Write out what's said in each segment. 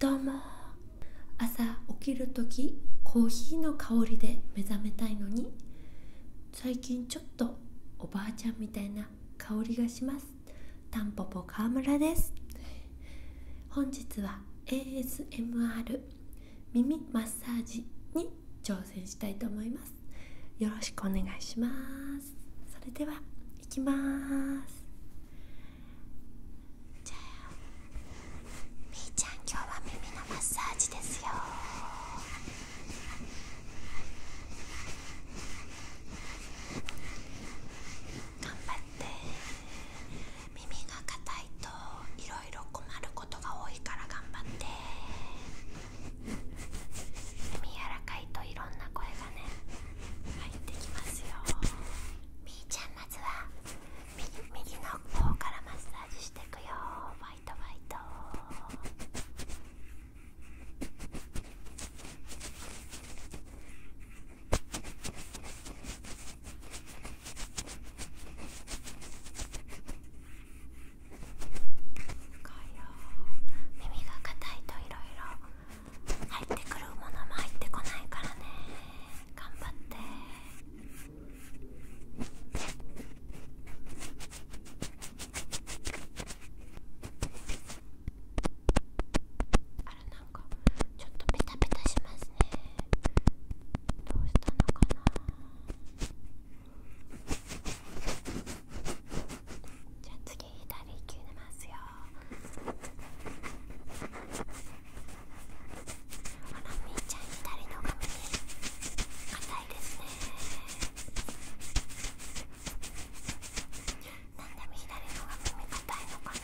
どうも朝起きる時コーヒーの香りで目覚めたいのに最近ちょっとおばあちゃんみたいな香りがしますタンポポ川村です本日は ASMR 耳マッサージに挑戦したいと思いますよろしくお願いしますそれではいきますじゃあみーちゃん今日は耳のマッサージですよ頑張って耳が硬いといろいろ困ることが多いから頑張って耳柔らかいといろんな声がね入ってきますよみーちゃんゃあまずは右右の方からマッサージしてくよフイトフイト耳が硬いといろいろ入ってくるものも入ってこないからね頑張ってあれなんかちょっとペタペタしますねどうしたのかなじゃあ次左行きますよラミーちゃん左の髪ね硬いですねなんで左のが耳硬いのかな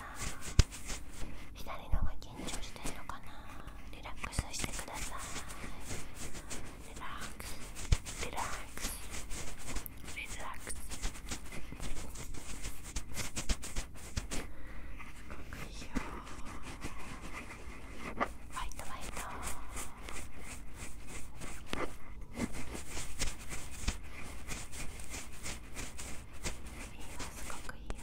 左のが緊張してるのかなリラックスしてくださいリラックスリラックスリラックスいいよファイトファイトいいすごくいいよ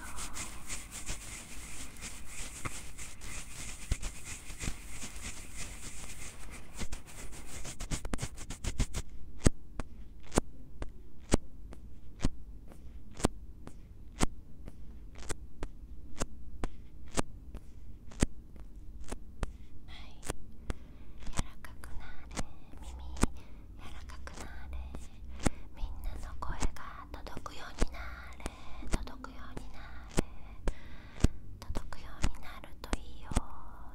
柔らかくなれ耳柔らかくなれみんなの声が届くようになれ届くようになれ届くようになるといいよ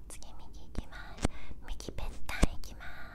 次右いきます右ぺったんいきます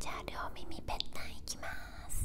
じゃあ両耳ぺったんいきます。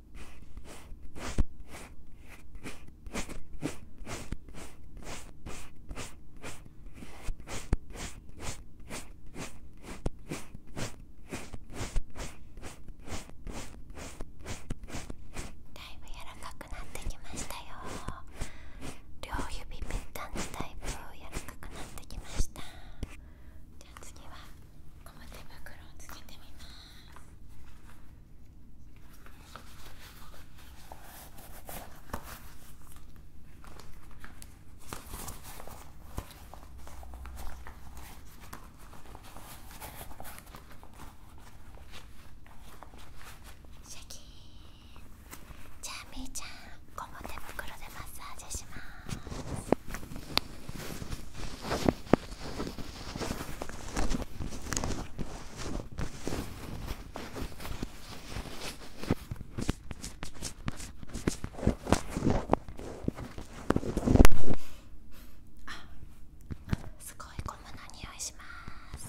だいぶ柔らかくなってきましたよ両指ぺったんでだいぶ柔らかくなってきました。じゃあ次はゴム手袋をつけてみますーじゃあみーちゃんゴム手袋でマッサージしますあ、すごいゴムの匂いします。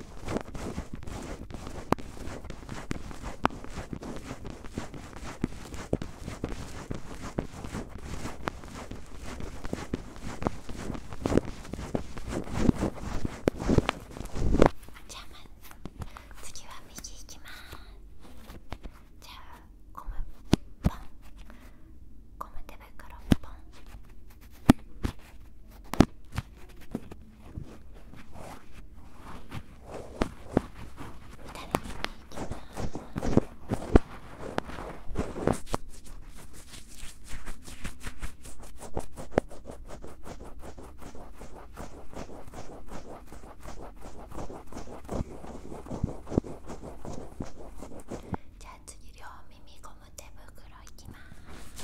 じゃあ、ま、次は右行きますじゃあゴムポンゴム手袋ポンじゃあ次両耳ご手袋いきます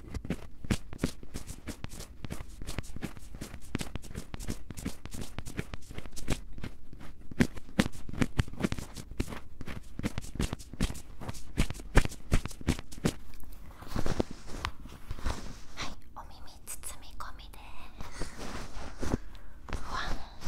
はい、お耳包み込みです。わふわふ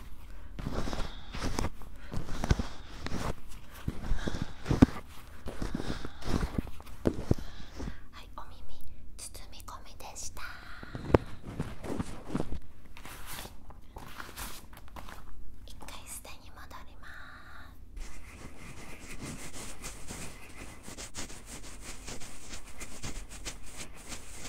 はい、お耳包み込みでした。一回すでに戻ります。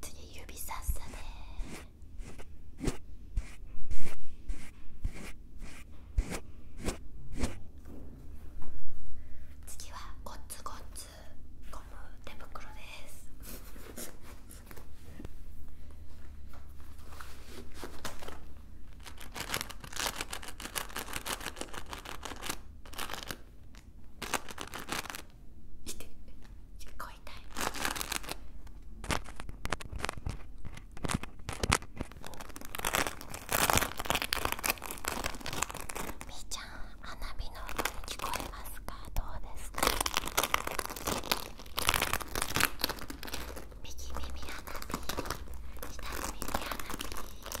次指さっさで次はゴツゴツゴム手袋ですして聞こえたいみーちゃん花火の音聞こえますかどうですか右耳花火左耳花火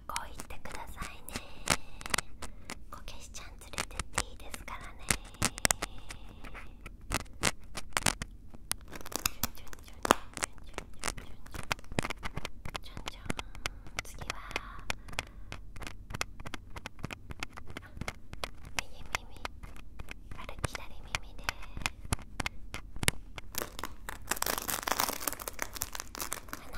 学校行ってくださいねこけしちゃん連れてっていいですからねじゃんじゃん次は右耳あれ左耳で鼻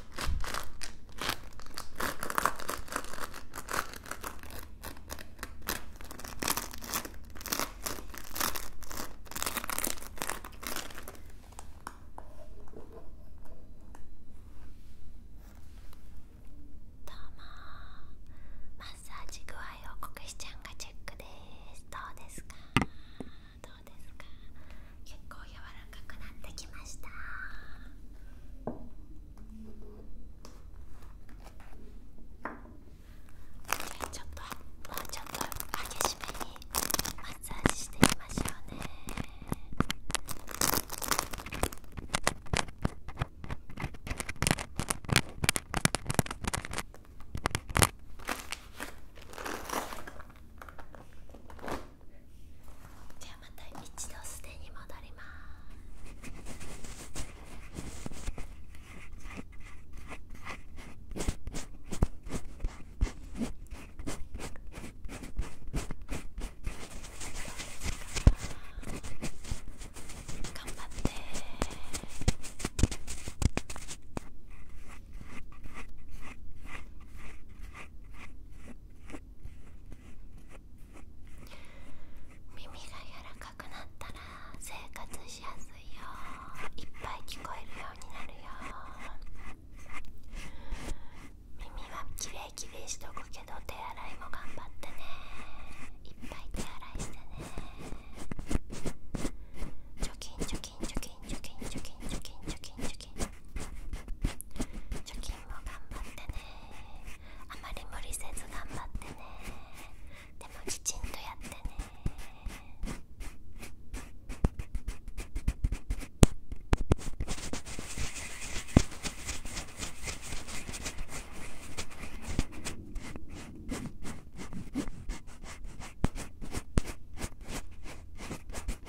どうもマッサージ具合をこくしちゃんがチェックですどうですかどうですか結構柔らかくなってきましたちょっともうちょっと激しめにマッサージしてみましょうねはじゃあまた一度すでに戻ります。頑張って耳が柔らかくなったら生活しやすいよいっぱい聞こえるようになるよ耳はきれいきれいしとくけど手洗いも頑張ってねいっぱい手洗いしてねョ除菌除菌除菌除菌除菌除菌除菌除菌除菌除菌週も頑張ってねあまり無理せず頑張ってねでもきちんとやってね「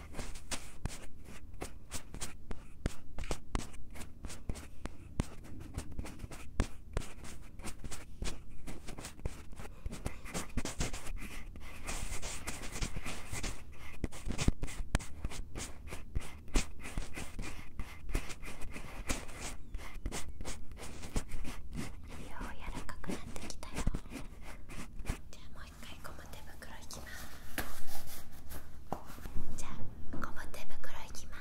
う柔らかくなってきたよ一回ゴム手袋いきますじゃゴム手袋いきま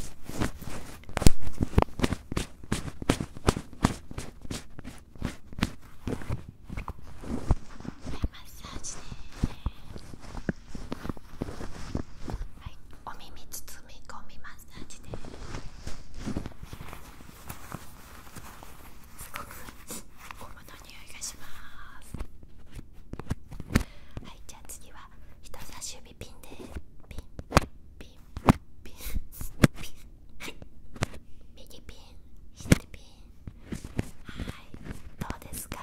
すはいマッサージではいお耳包み込みマッサージですごくゴムの匂いがしますはいじゃあ次は人差し指ピンでピンピンピンピンはい右ピン左ピンはいどうですか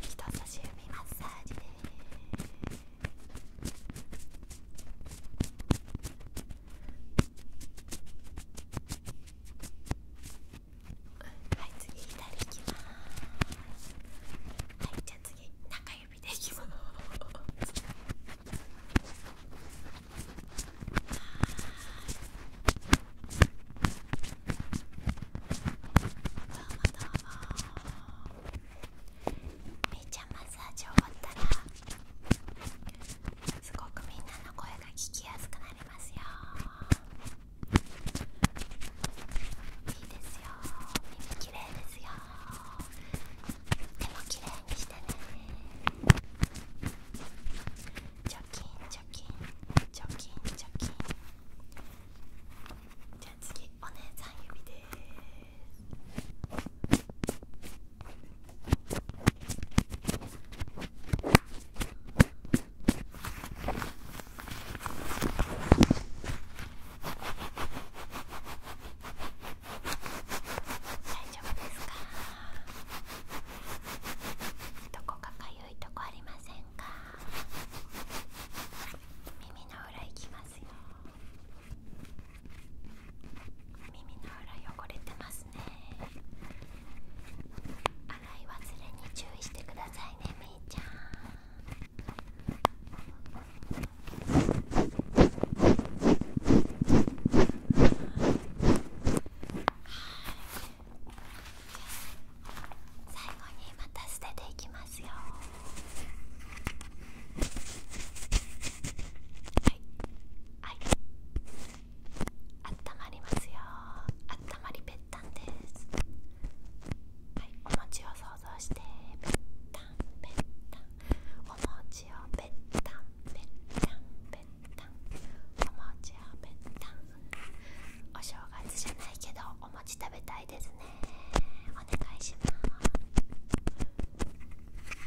人差し指マッサージですはい次左いきますはいじゃあ次中指でいきますめいちゃマッサージ終わったらすごくみんなの声が聞きやすくなりますよいいですよ耳きれいですよ手もきれいにしてねチョキンチョキンチョキンチョキンじゃあ次お姉さん指です丈夫ですかどこかかいとこありませんか耳の裏いきますよ耳の裏汚れてますね洗い忘れに注意してくださいねみーちゃん最後にまた捨てていきますよ。はいあったまりますよあったまりぺったんですはいお餅を想像してぺったんぺったんお餅をぺったんぺったんぺったんお餅をぺったんお正月じゃないけどお餅食べたいですね願いします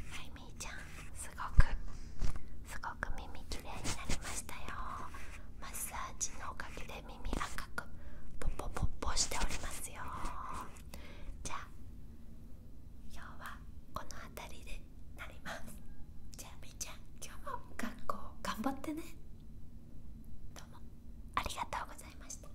はいみーちゃんすごくすごく耳きれいになりましたよマッサージのおかげで耳赤くポッポポッポしておりますよじゃあ今日はこの辺りでなりますじゃあみーちゃん今日も学校頑張ってねどうもありがとうございました